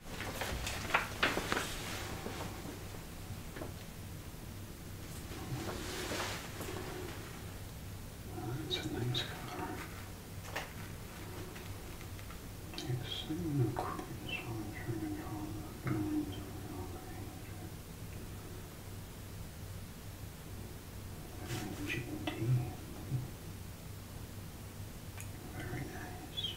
That's a nice color. It's in the so I'm trying to draw the lines around the angel. Very nice.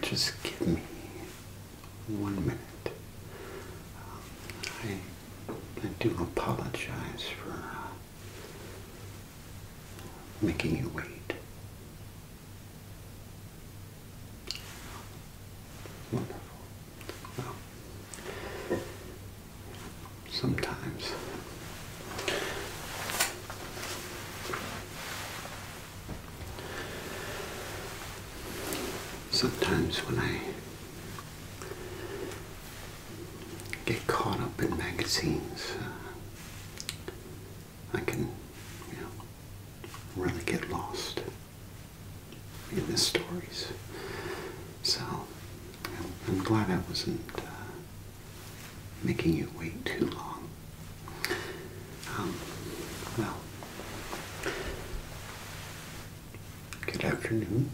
Just give me one minute. Um, I, I do apologize for uh, making you wait. Wonderful. sometimes Sometimes when I get caught up in magazines, uh, I can, you know, really get lost in the stories. So I'm glad I wasn't uh, making you wait too long. Um, well, good afternoon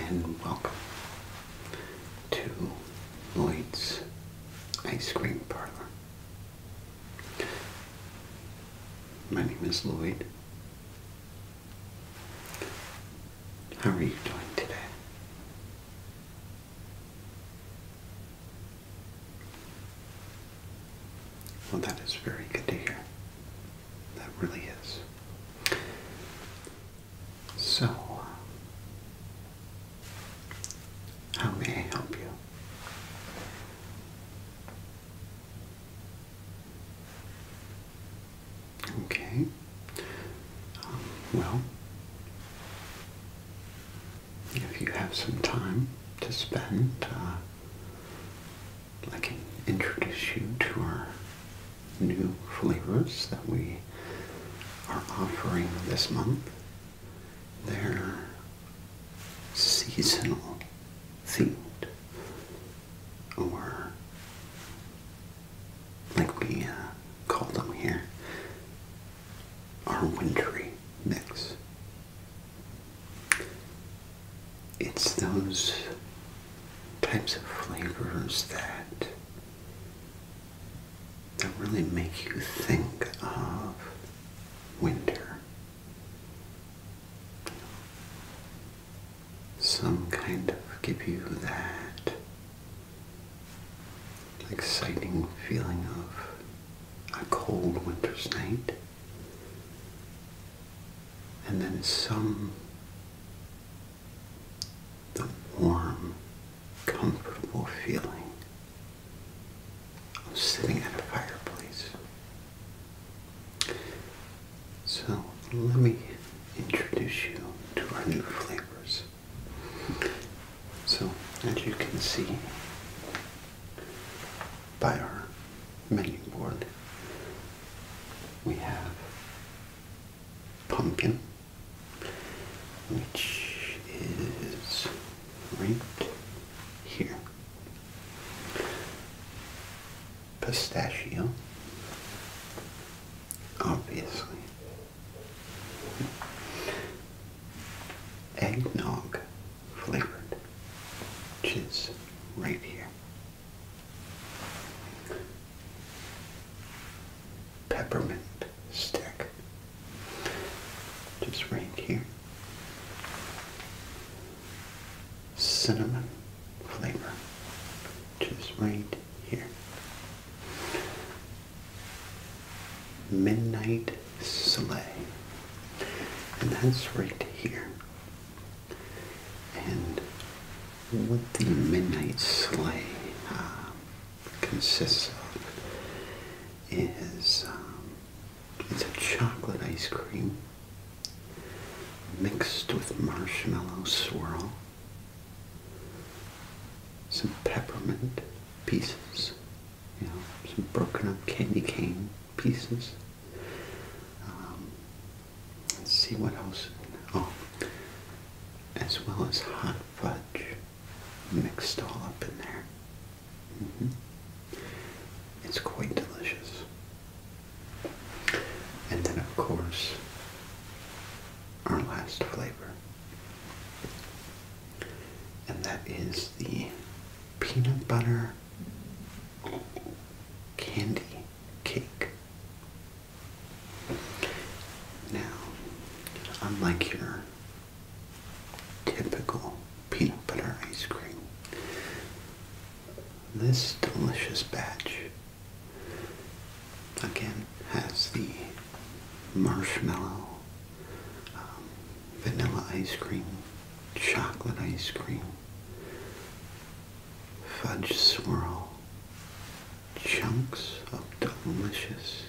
and welcome to Lloyd's Ice Cream Parlor. My name is Lloyd. How are you doing today? Well, that is very good to hear. That really is. So, how may I help you? Okay. Um, well, if you have some time to spend, uh, I can introduce you to our new flavors that we are offering this month. They're seasonal themed or like we uh, call them here our wintry mix. It's those types of flavors that that really make you think of winter. Some kind of give you that exciting feeling of a cold winter's night. And then some, the warm, comfortable feeling of sitting at a fireplace. So let me introduce you to our new flavors. So, as you can see by our menu board, we have pumpkin, which is right here. Pistachio, obviously eggnog flavored, just right here. Peppermint stick, just right here. Cinnamon flavor, just right here. Midnight Sleigh. And that's right here. And what the Midnight Sleigh uh, consists of is um, it's a chocolate ice cream mixed with marshmallow swirl, some peppermint, pieces, you know, some broken up candy cane pieces. Um, let's see what else. Oh, as well as hot fudge mixed all up in there. Mm-hmm. It's quite delicious. And then, of course, our last flavor and that is the peanut butter candy cake. Now, unlike your typical peanut butter ice cream, this delicious batch again has the marshmallow, um, vanilla ice cream, chocolate ice cream, fudge swirl, chunks of delicious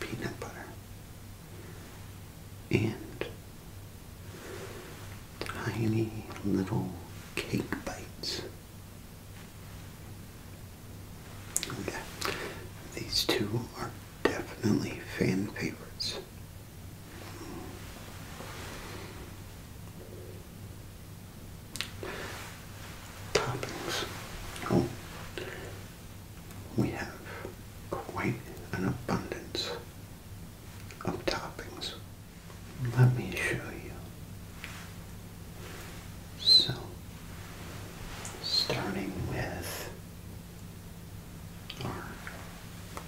peanut butter, and tiny little cake bites. Okay. These two are definitely fan favorites. Toppings. Oh, we have quite an abundance of toppings. Let me show you. So, starting with our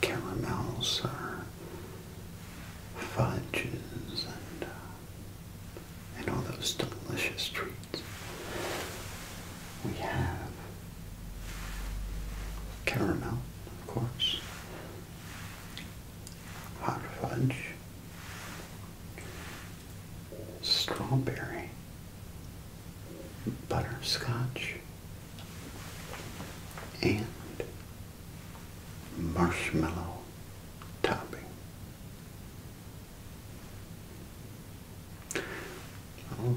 caramels, our fudges, and, uh, and all those delicious treats. We have caramel, of course, hot fudge, strawberry, butterscotch, and marshmallow topping. Oh,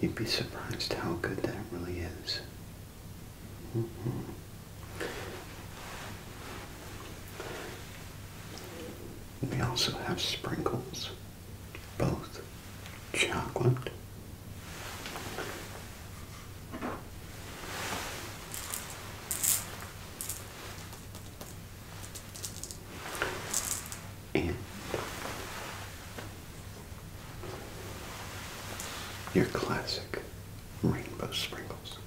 You'd be surprised how good that really is. Mm-hmm. We also have sprinkles, both chocolate your classic rainbow sprinkles.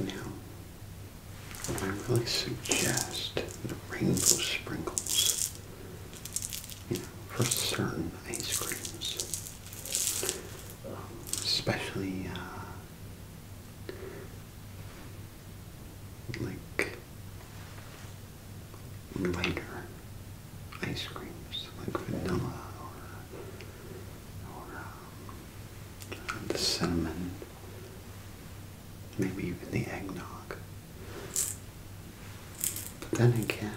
Now, I really suggest the rainbow sprinkles, you know, for certain ice creams, um, especially uh, like lighter ice creams, like vanilla or, or um, the cinnamon, maybe even the eggnog. But then again,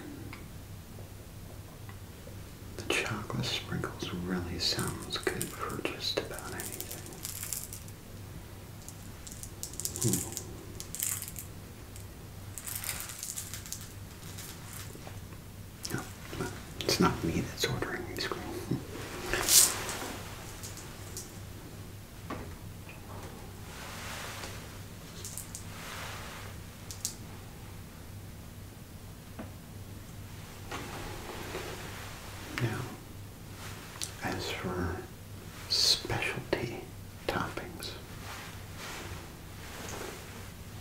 the chocolate sprinkles really sounds good for just about anything. Hmm. it's not me that's ordering ice cream. Now, as for specialty toppings.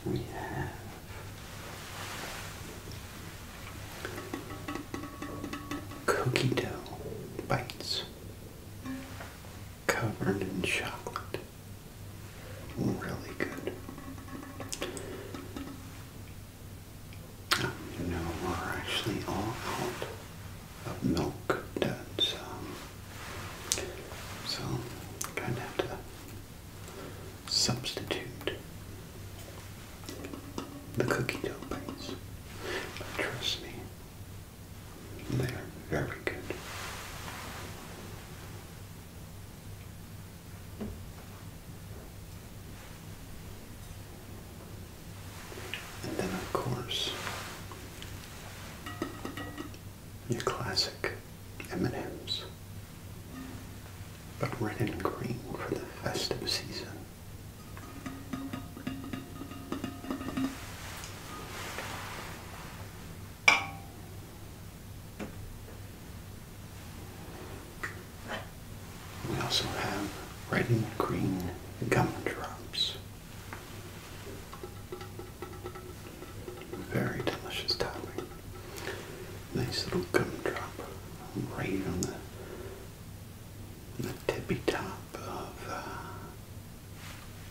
We have cookie dough bites covered in chocolate. Really good. Um, you are actually all out of milk duds. Um, so I'm have to substitute the cookie dough bites. But trust me, they are very good. And then, of course, your classic M&Ms, but red and green for the festive season. We also have red and green gumdrops. Very delicious topping. Nice little gumdrop right on the, on the tippy top of uh,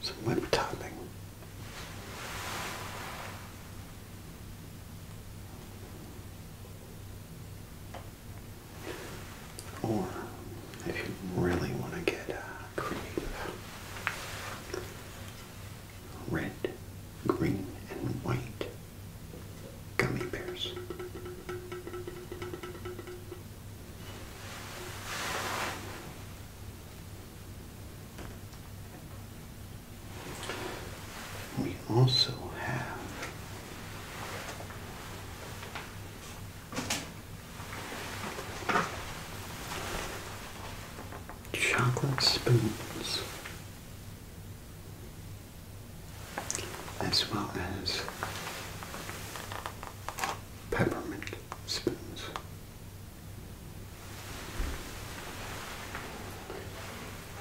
some whip topping. Or if you really want to get uh, creative, red, green, and white gummy bears. We also have Chocolate spoons, as well as peppermint spoons.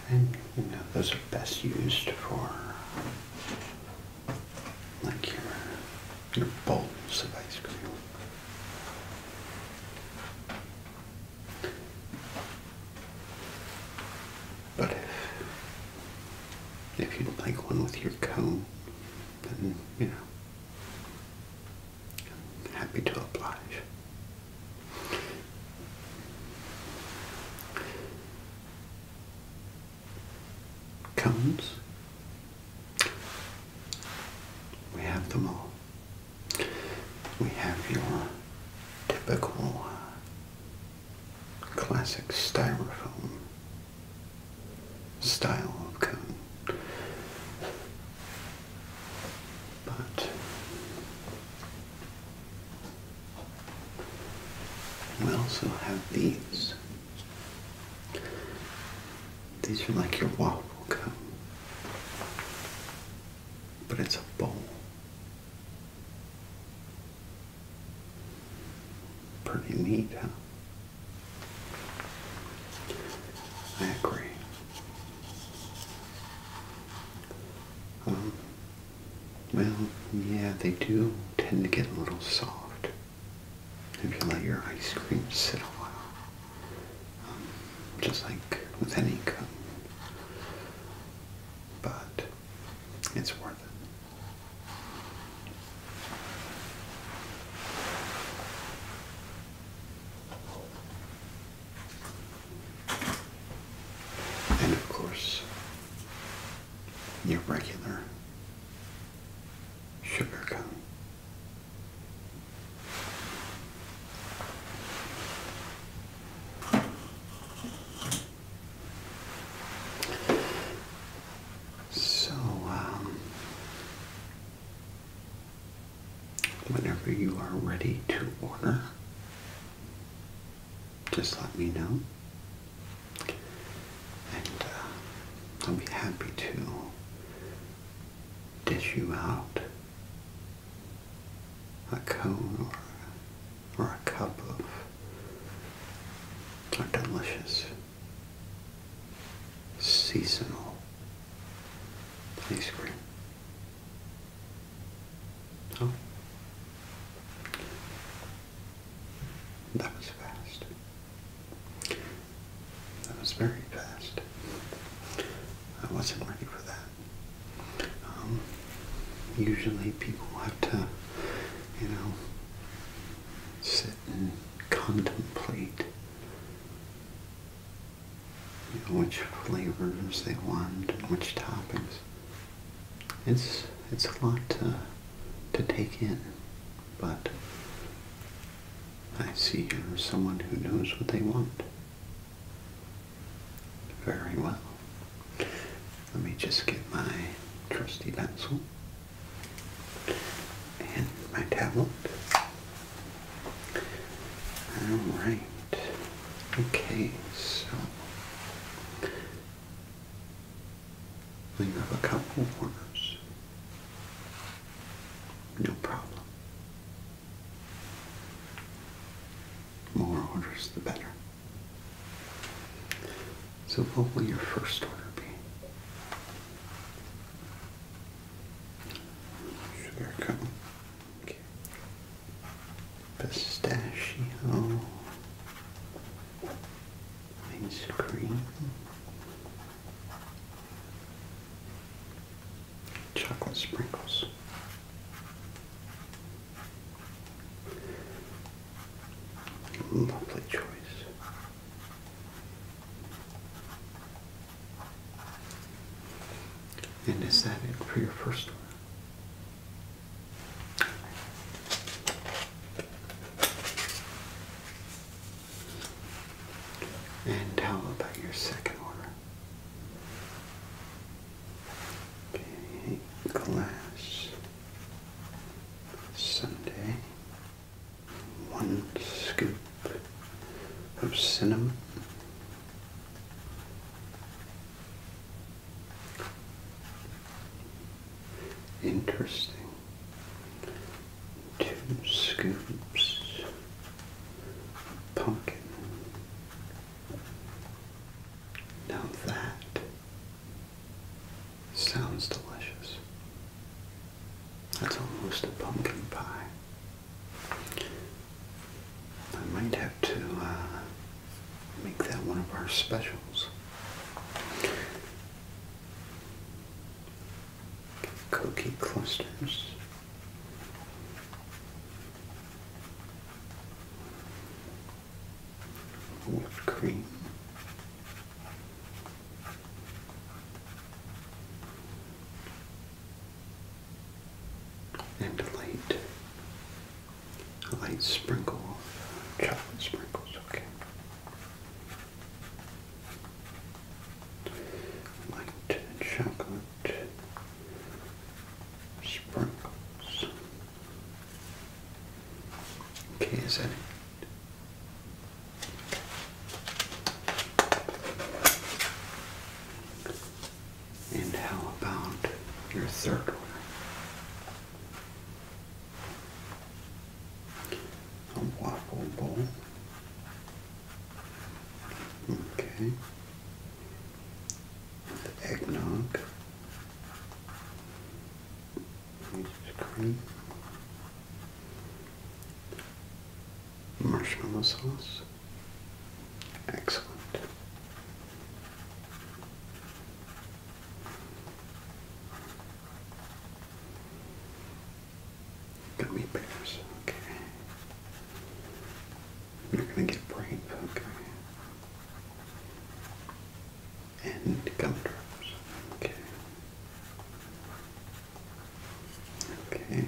And you know, those are best used for like your, your bowls of ice cream. But if, if you'd like one with your cone, then, you know, I'm happy to oblige cones. We have them all. We have your typical uh, classic styrofoam style of cone. But we also have these. These are like your waffle cone, but it's a bowl. Pretty neat, huh? I agree. Um, well, yeah, they do tend to get a little soft if you let your ice cream sit a while. Um, just like with any cone. But it's worth it. And of course, your regular sugarcane. So, um, whenever you are ready to order, just let me know. And uh, I'll be happy to dish you out a cone or, or a cup of our delicious seasonal ice cream. Oh. That was fast. That was very fast. I wasn't ready for that. Um, usually people have to, you know, sit and contemplate you know, which flavors they want and which toppings it's it's a lot to, take in, but I see you're someone who knows what they want. Very well. Let me just get my trusty pencil and my tablet. Alright. Okay, so we have a couple orders. No problem. More orders, the better. So what will your first order be? Sugar cone. Okay. Pistachio main cream, Chocolate sprinkles. Lovely choice. And is that it for your first one? And how about your second order? Okay, glass Sunday. One scoop of cinnamon. Interesting. Two scoops pumpkin. Now that sounds delicious. That's almost a pumpkin pie. I might have to uh, Make that one of our specials. Cookie clusters. Whipped cream. And light light sprinkle chocolate sprinkles, okay. Light chocolate sprinkles. Okay, is that it? And how about your third one? A waffle bowl. Okay. The eggnog. Cream. Marshmallow sauce. Excellent. Gummy bears, okay. You're gonna get brain, okay. And gum okay. Okay.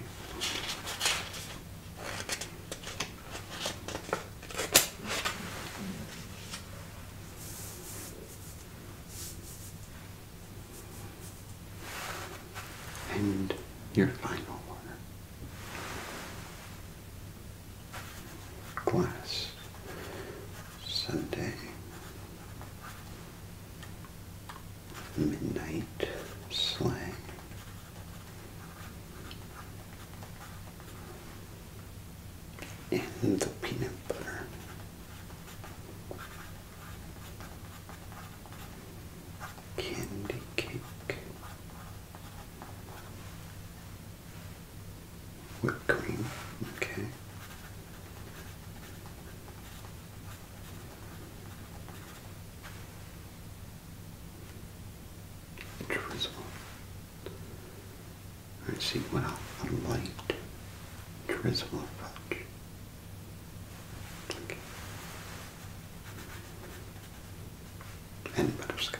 And your final one. Class Sunday Midnight Slang and the peanut butter. Candy cake, whipped cream, okay. Drizzle. I see well a light drizzle of fudge. butterscotch.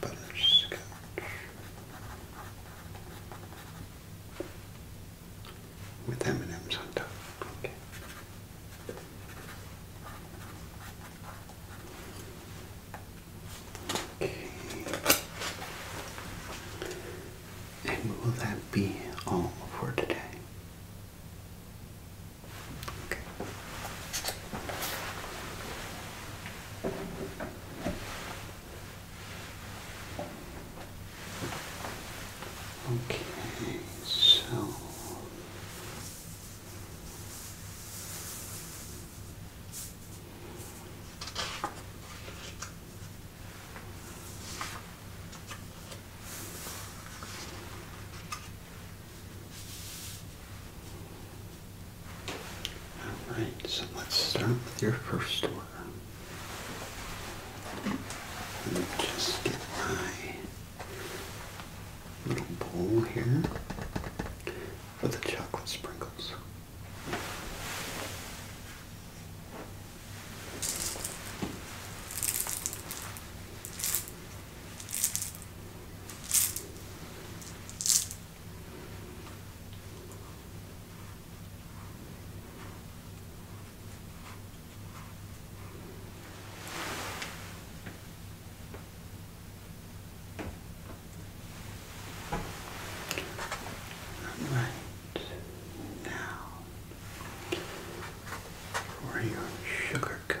butterscotch. With M&M's on top. And will that be all for today? Okay. Okay, so all right, so let's start with your first order. Let me just get my Little bowl here for the chocolate sprinkles. And right now for your sugar cone.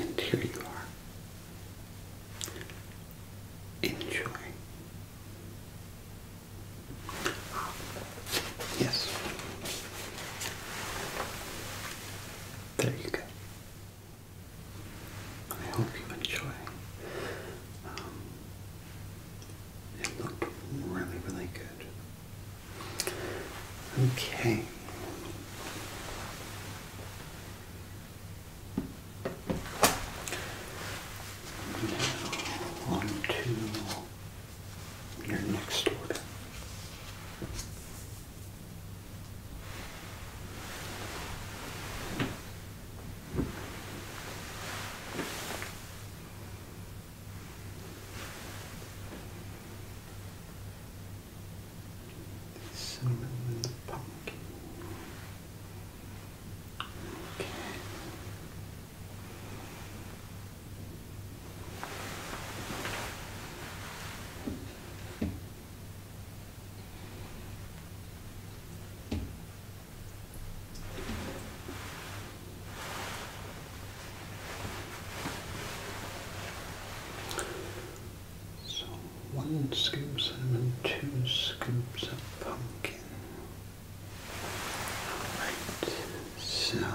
And here you are. Enjoy. Yes. There you go. I hope you enjoy. Um, it looked really, really good. Okay. Now on to your next order. The cinnamon and the pumpkin. Okay. So one scoop cinnamon, two scoops of pumpkin. Alright, so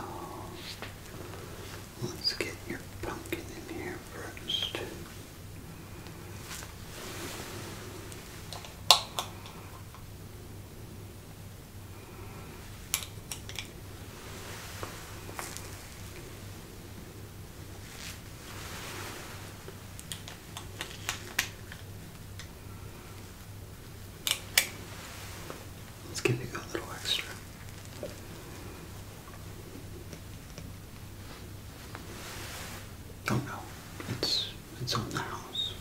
let's get your pumpkin in here first. Let's give you a little extra. Don't know. It's it's on the house.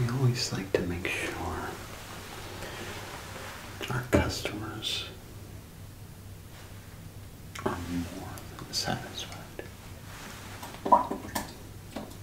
We always like to make sure our customers are more than satisfied.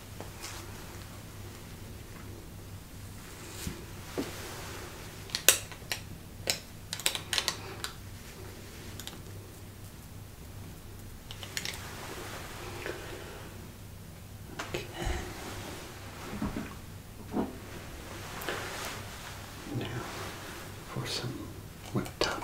Okay. Now for some whip top.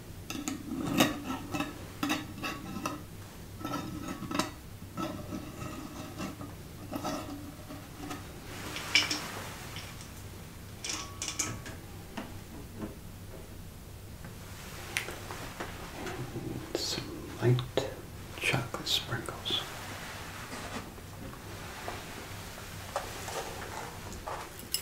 some light chocolate sprinkles.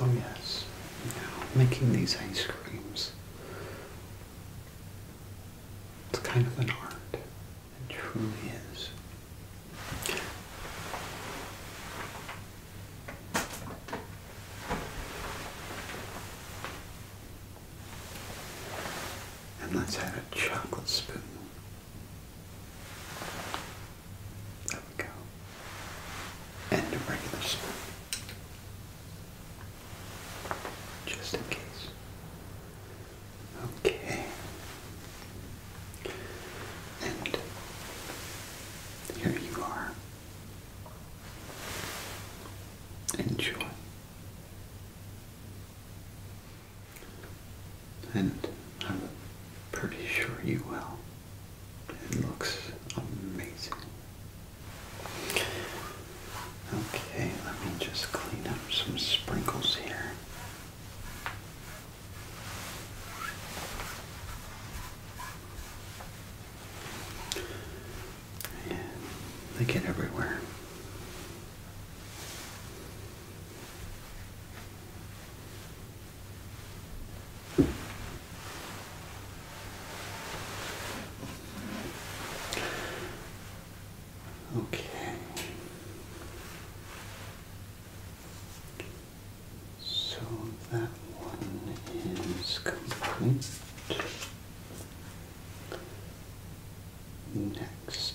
Oh yes, making these ice creams. It's kind of an art. It truly is. And let's add a chocolate spoon go and a regular spoon just in case. Okay. And here you are. Enjoy. And I'm pretty sure you will. It looks amazing. Okay, let me just clean up some sprinkles here. And they get everywhere. Okay. So that one is complete. Next.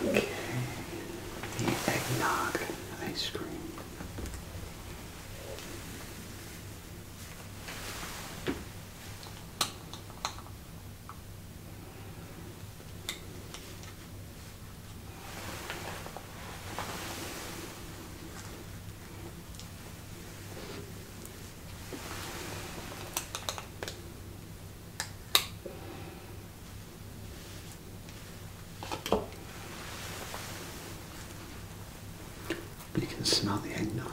Okay, the eggnog ice cream. You can smell the eggnog.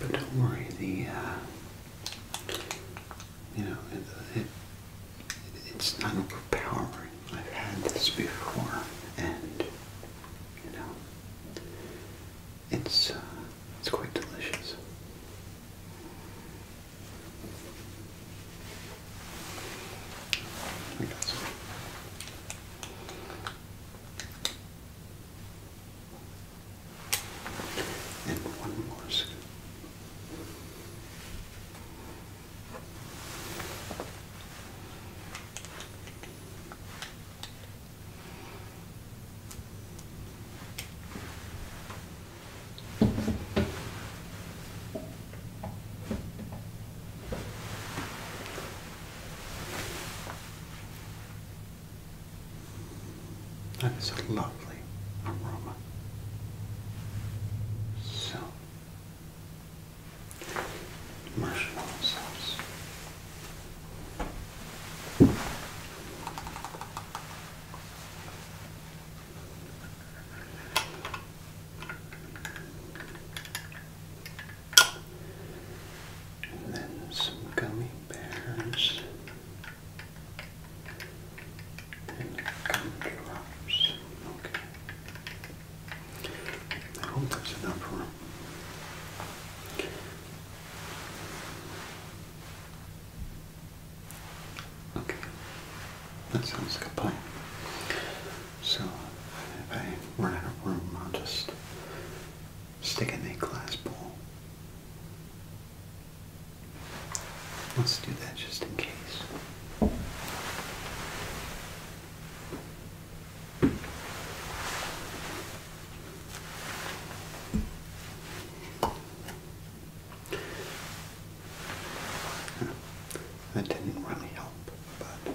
But don't worry, the uh, you know it, it's not overpowering. I've had this before, and you know, it's uh, it's quite delicious. And one more that is a lovely aroma. So marshmallow sauce. And then some gummy bears and gumdrops. Okay. I hope that's enough for him. Okay, that sounds like a plan. So, if I run out of room, I'll just stick in a glass bowl. Let's do that just in case. That didn't really help, but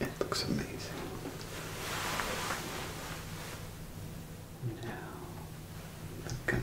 It looks amazing. Now, the gummy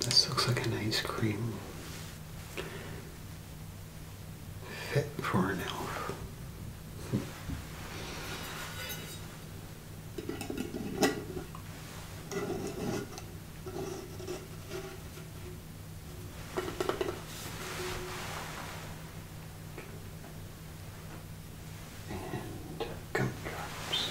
This looks like an ice cream fit for an elf and gumdrops.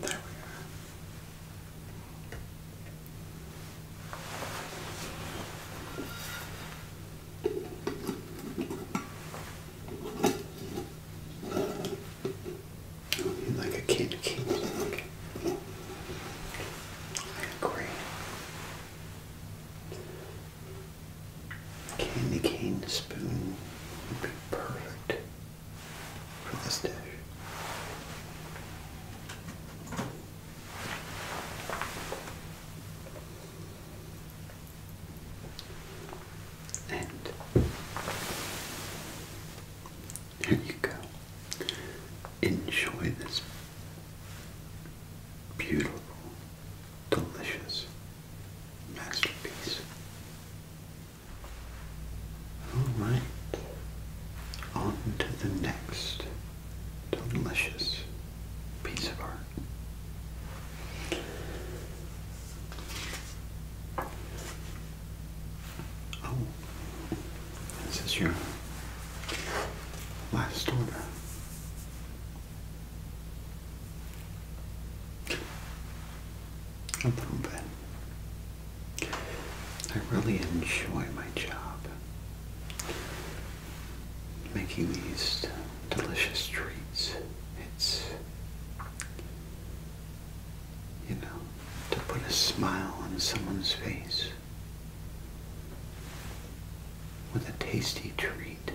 There we are. like a kid, kid. I agree. Candy cane spoon would be perfect for this dish. And here you go. Enjoy this beautiful, delicious masterpiece. Alright, on to the next delicious piece of art. Oh, this is your last order. A little bit. I really enjoy my job making these delicious treats. It's, you know, to put a smile on someone's face with a tasty treat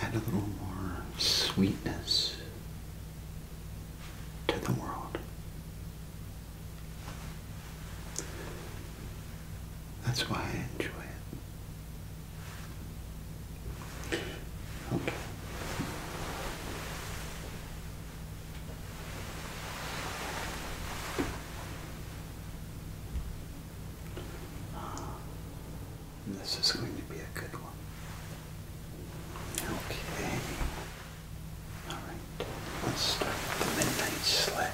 add a little more sweetness to the world. That's why I enjoy it. Okay. Uh, this is going to be a good one. Okay. Alright, let's start with the Midnight Sleigh.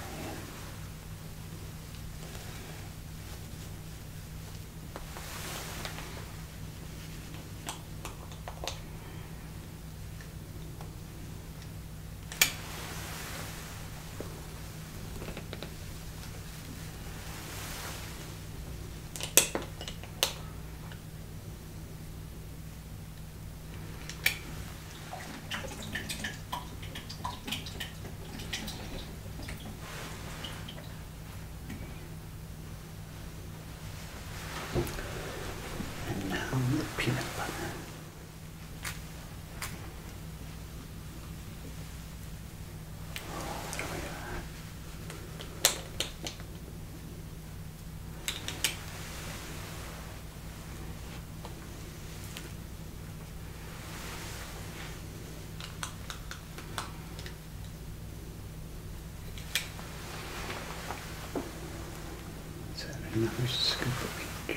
And now the peanut butter. There we are. scoop of each.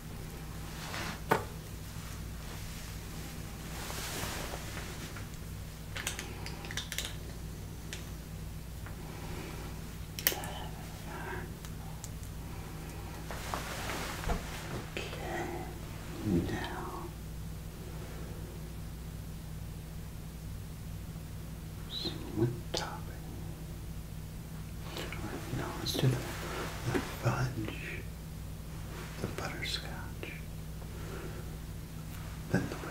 Okay, now some wood Alright, let's do the, the fudge, the butterscotch, then the wood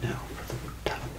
Now for the wood talent.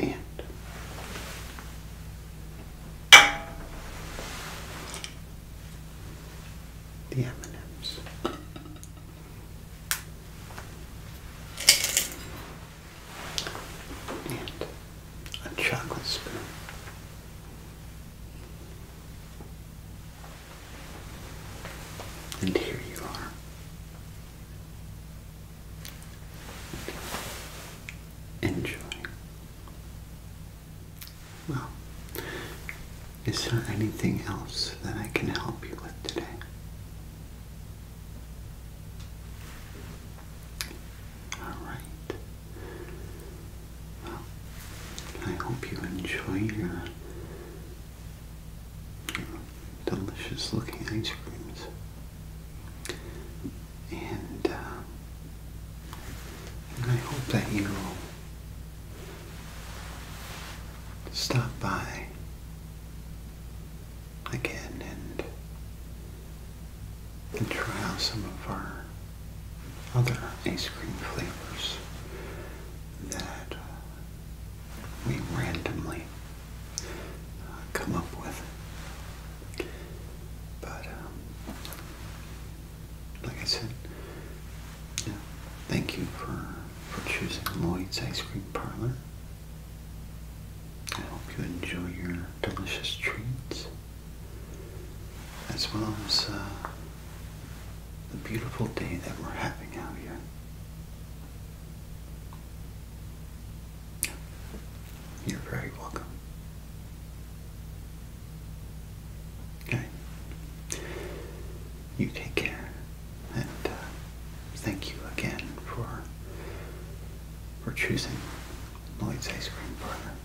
And the M&Ms. And a chocolate spoon. And here you are. Enjoy. Well, is there anything else that I can help you with today? All right. Well, I hope you enjoy your delicious looking ice creams. Uh, and, I hope that you stop by again and, and try out some of our other ice cream flavors that we randomly uh, come up with. But, um, like I said, thank you for, for choosing Lloyd's Ice Cream Parlor. I hope you enjoy your delicious treats, as well as uh, the beautiful day that we're having out here. You're very welcome. Okay. You take care, and uh, thank you again for for choosing Lloyd's Ice Cream for Parlor.